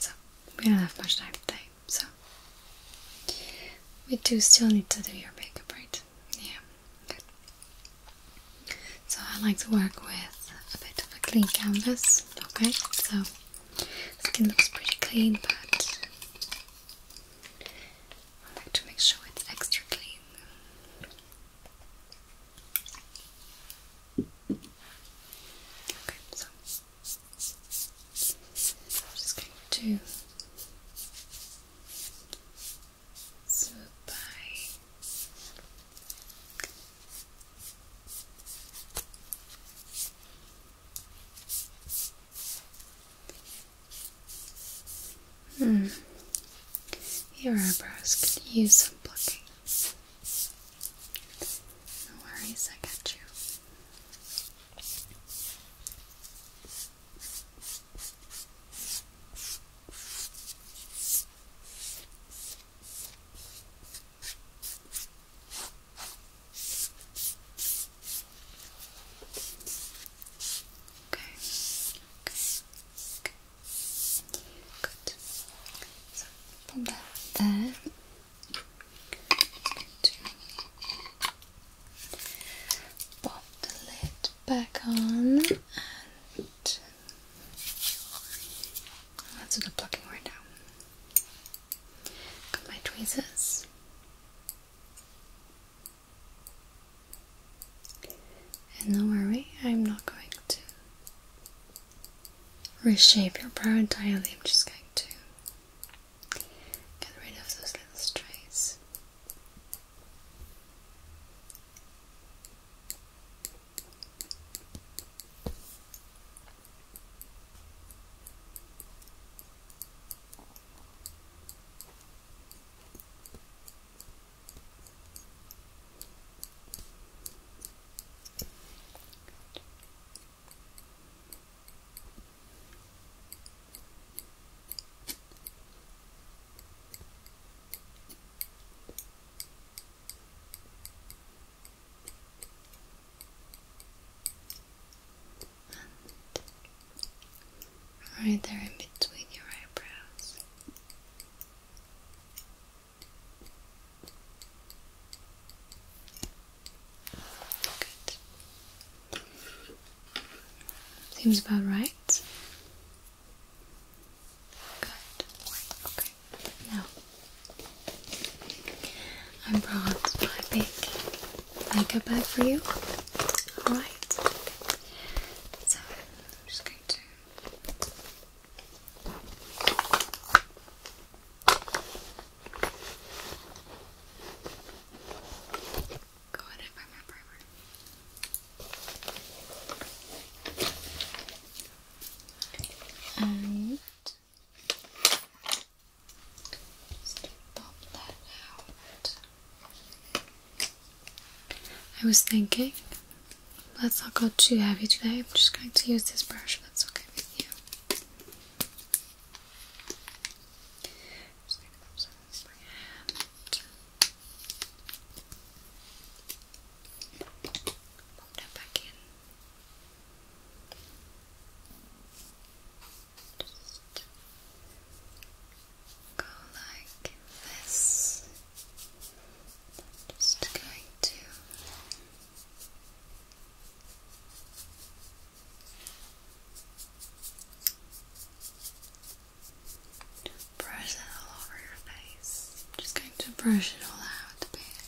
So we don't have much time today so we do still need to do your makeup, right? Yeah, good. So I like to work with a bit of a clean canvas, okay? So skin looks pretty clean, but I like to make sure it's extra clean. Okay, so I'm just going to swoop by. Hmm. Your eyebrows could use some plucking. No worries, I got you. Okay. Okay. Good. So, put that there. Put the lid back on and let's oh, do plucking right now. Got my tweezers. And don't worry, I'm not going to reshape your brow entirely. I'm just going to get rid of those little strays. And right there in between your eyebrows. Seems about right. Good. Okay. Now, I brought my big makeup bag for you. Alright. So, I'm just going to. Go ahead and find my primer. And just that out. I was thinking, let's not go too heavy today. I'm just going to use this brush that's okay with you. Just like that, so that's my hand. Pop that back in. Just go like this. I'm just going to Brush it all over your face. I'm just going to brush it all out a bit.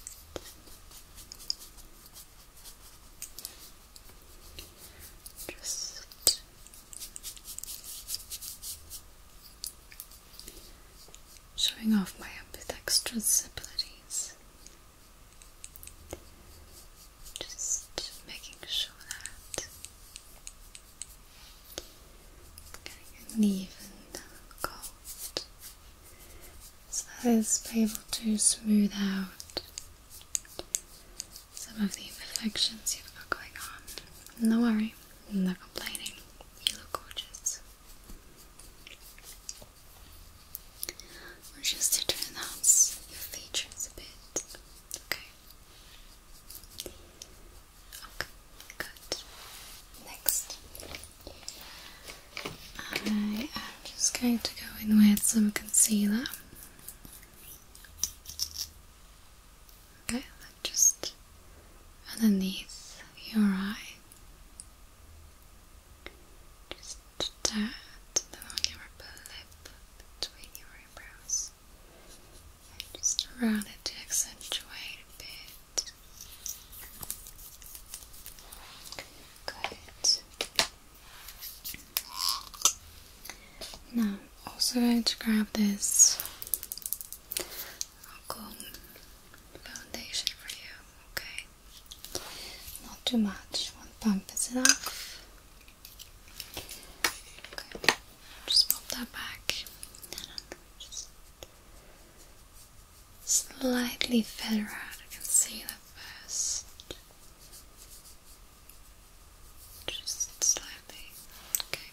Just showing off my extra abilities. Just making sure that I'm even cold so that is able to smooth out some of the imperfections you've got going on. No worry, no complaining. You look gorgeous or just to enhance your features a bit. Okay. Okay, good. Next, I am just going to go in with some concealer. Okay, just underneath your eye. Just the dot of your lip between your eyebrows. And just around it to accentuate a bit. Good. Now, also going to grab this foundation for you, okay? Not too much. One pump is enough. just pop that back. slightly feather out. I can see that first. Just slightly. Okay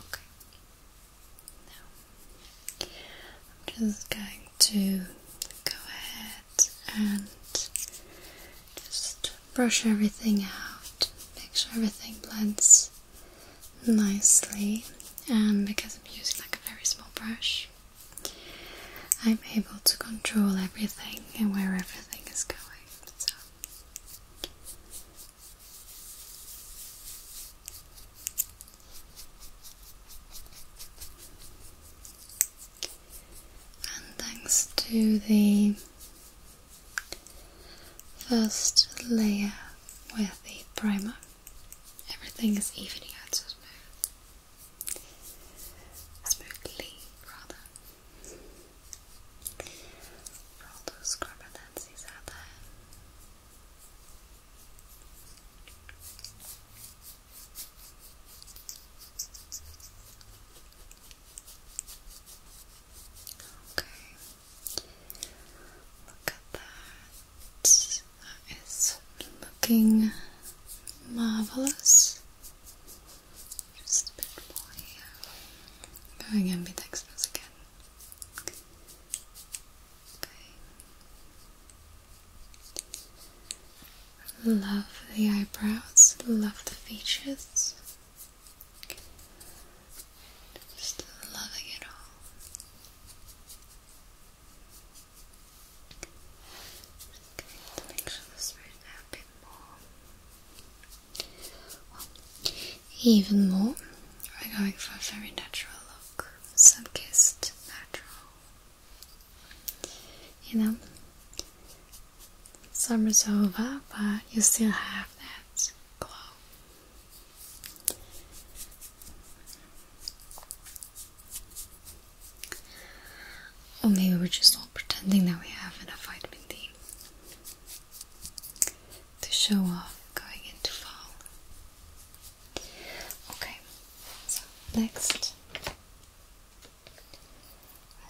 Okay. Now, I'm just going to go ahead and just brush everything out, make sure everything blends nicely. And because I'm using like a very small brush, I'm able to control everything and where everything is going thanks to the first layer with the primer, everything is evening out so smooth. Smoothly, rather all those corpulencies out there. Okay, look at that. That is looking marvelous. Just a bit more here. Going ambidextrous again. Love the eyebrows, love the features. Just loving it all even more, we're going for a very natural look, sun-kissed, natural. You know, summer's over, but you still have that glow. Or maybe we're just all pretending that we have a vitamin D to show off going into fall. Okay, so next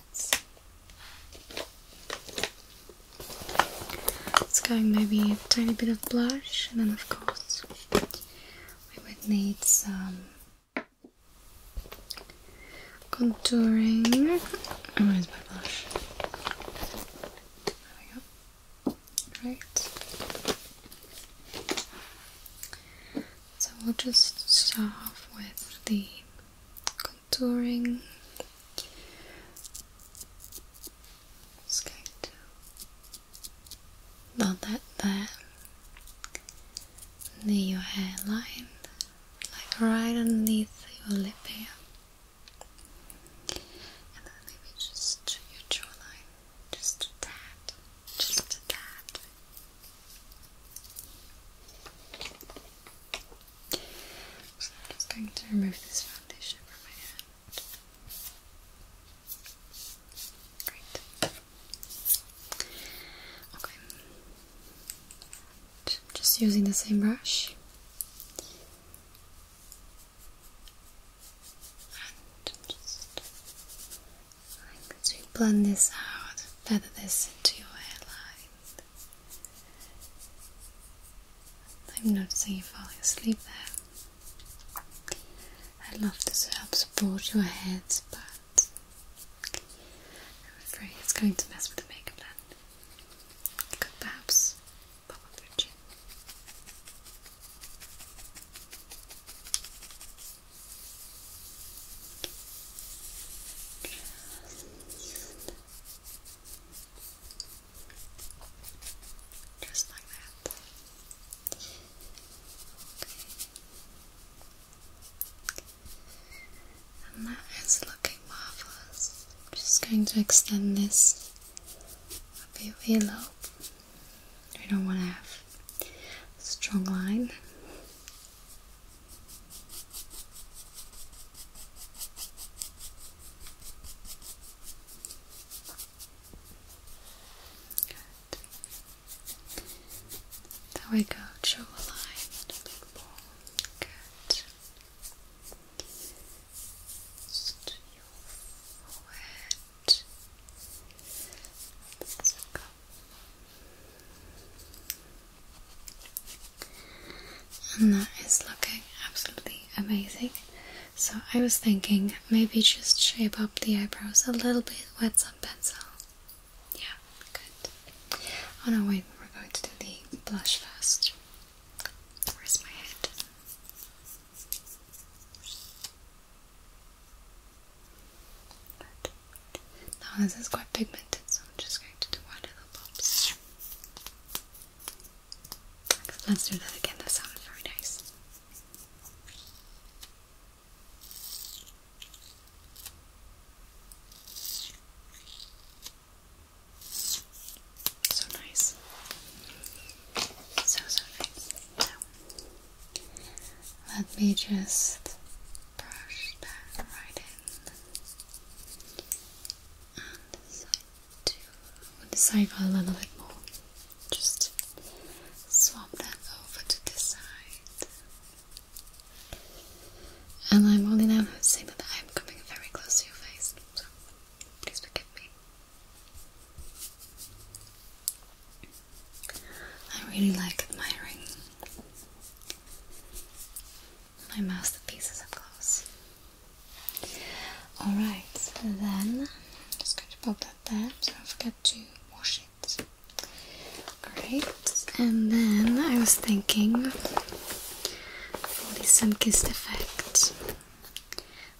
let's let's go maybe a tiny bit of blush and then of course we would need some Contouring. Oh, where's my blush? There we go. Right. So we'll just start off with the contouring. Not going that there near your hairline like right underneath your lip here, and then maybe just your jawline, just a tad, just a tad. just going to remove this foundation from my hand. Great. Okay. Just using the same brush. And just like to blend this out, feather this into your hairline. I'm noticing you falling asleep there. I love this It helps support your head back. I'm afraid it's going to mess with the makeup then. You perhaps Just like that. Okay that is looking marvellous. I'm just going to extend this a bit of earlobe. We don't want to have a strong line. There we go, draw a line and Good. Just your forehead. Let's go. And that is looking absolutely amazing. So I was thinking maybe just shape up the eyebrows a little bit with some pencil yeah, good. Oh no, wait, we're going to do the blush first. Where's my head? Good. this is quite pigmented, so I'm just going to do one little pops. Let's do that again, that sounds very nice. So nice. So, so nice. let me just brush that right in. And decide a little bit more. Just swap that over to this side. And I'm only now noticing that I'm coming very close to your face, so please forgive me. I really like admiring my masterpieces, of close. Alright, then I'm just going to pop that there, so don't forget to wash it. Alright. and then I was thinking for the sun-kissed effect,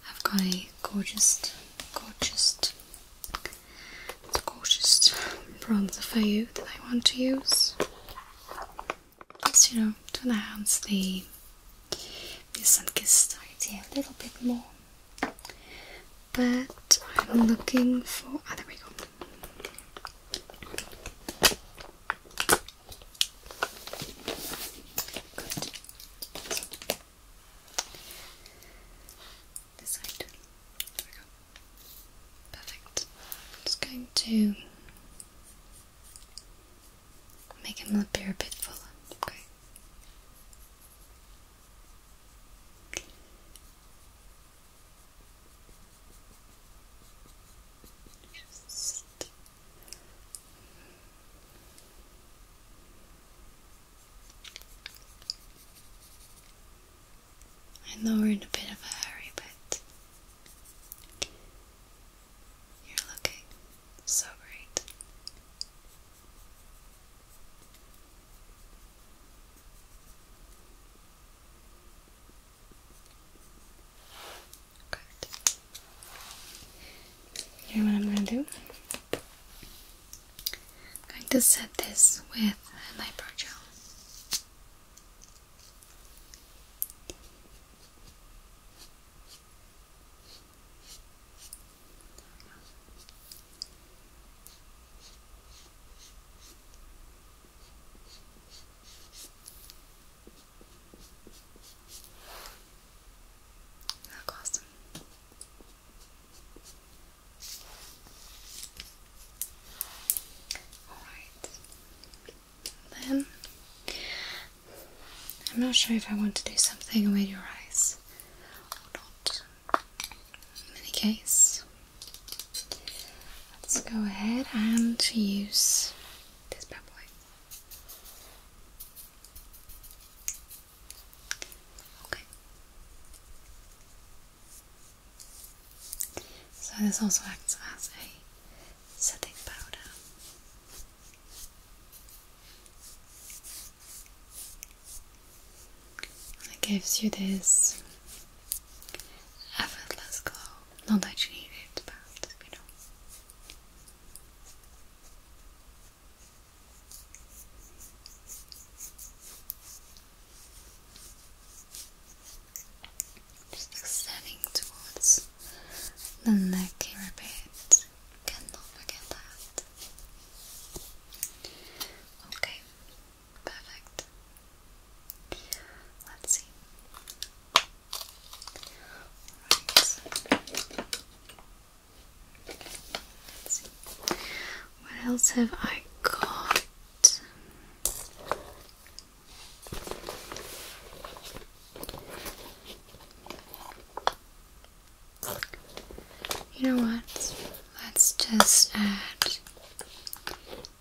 I've got a gorgeous, gorgeous, gorgeous bronzer for you that I want to use. Just you know, to enhance the the sun-kissed idea a little bit more but I'm looking for. Ah, oh, there we go. Perfect. just going to make him appear a bit fuller. Okay. I know we're in a bit of a hurry, but you're looking so great. Good. Here, what I'm going to do? I'm going to set this with an eyebrow gel. Look awesome. Alright. Then I'm not sure if I want to do something with your eyes or not. In any case, let's go ahead and use this powder. Okay. So this also acts as a setting powder. It gives you this effortless glow. Not that you need it, but you know. extending towards the neck here Cannot forget that. Okay, perfect. Let's see. What else have I got? You know what? Let's just add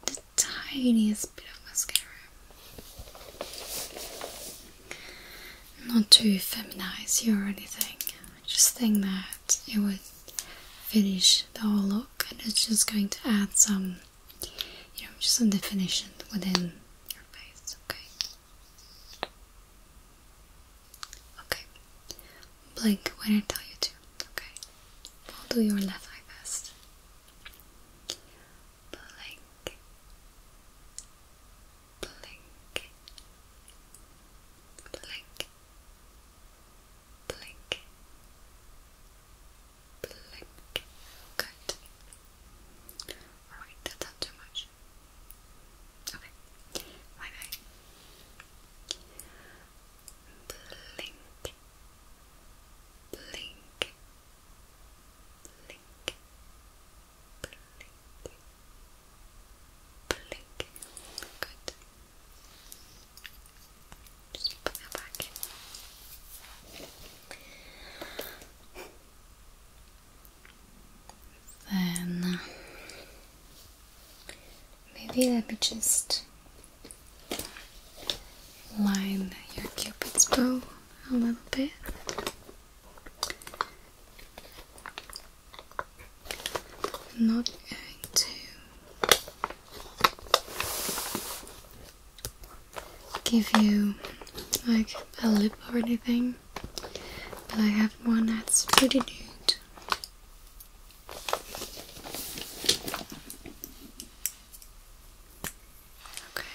the tiniest bit of mascara. Not to feminize you or anything. just think that it would finish the whole look and it's just going to add some you know just some definition within your face, okay. Okay. Blink when I tell you to. Okay. I'll do your left eye first. Blink. Blink. Blink. Blink. Blink. Good. Alright, that's not too much much. Okay, Blink, blink, blink, blink, blink. Good. put that back. Then maybe let me just line your cupid's bow a little bit. not going to give you like a lip or anything. But I have one that's pretty nude. Okay.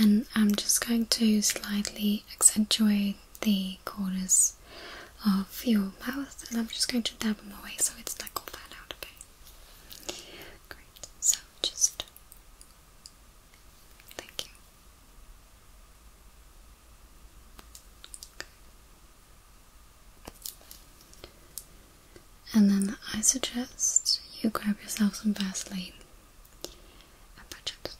And I'm just going to slightly accentuate the corners of your mouth and I'm just going to dab them away so it's like all flat out, okay? Great, so just thank you. And then I suggest you grab yourself some Vaseline and patch up the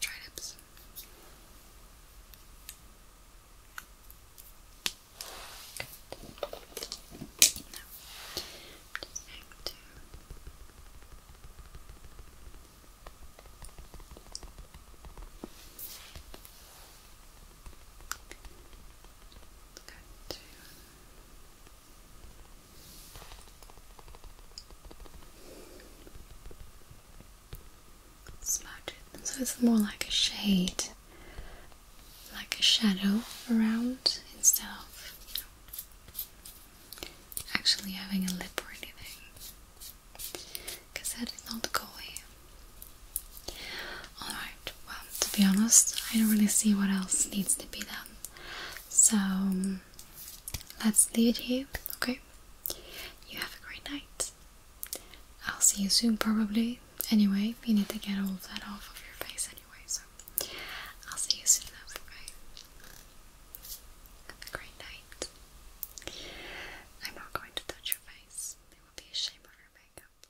so it's more like a shade, like a shadow around instead of actually having a lip or anything because that is not the goal alright well to be honest I don't really see what else needs to be done so let's leave it here okay you have a great night I'll see you soon probably anyway you need to get all of that off of your face anyway so I'll see you soon okay have a great night. I'm not going to touch your face. It would be a shame of your makeup.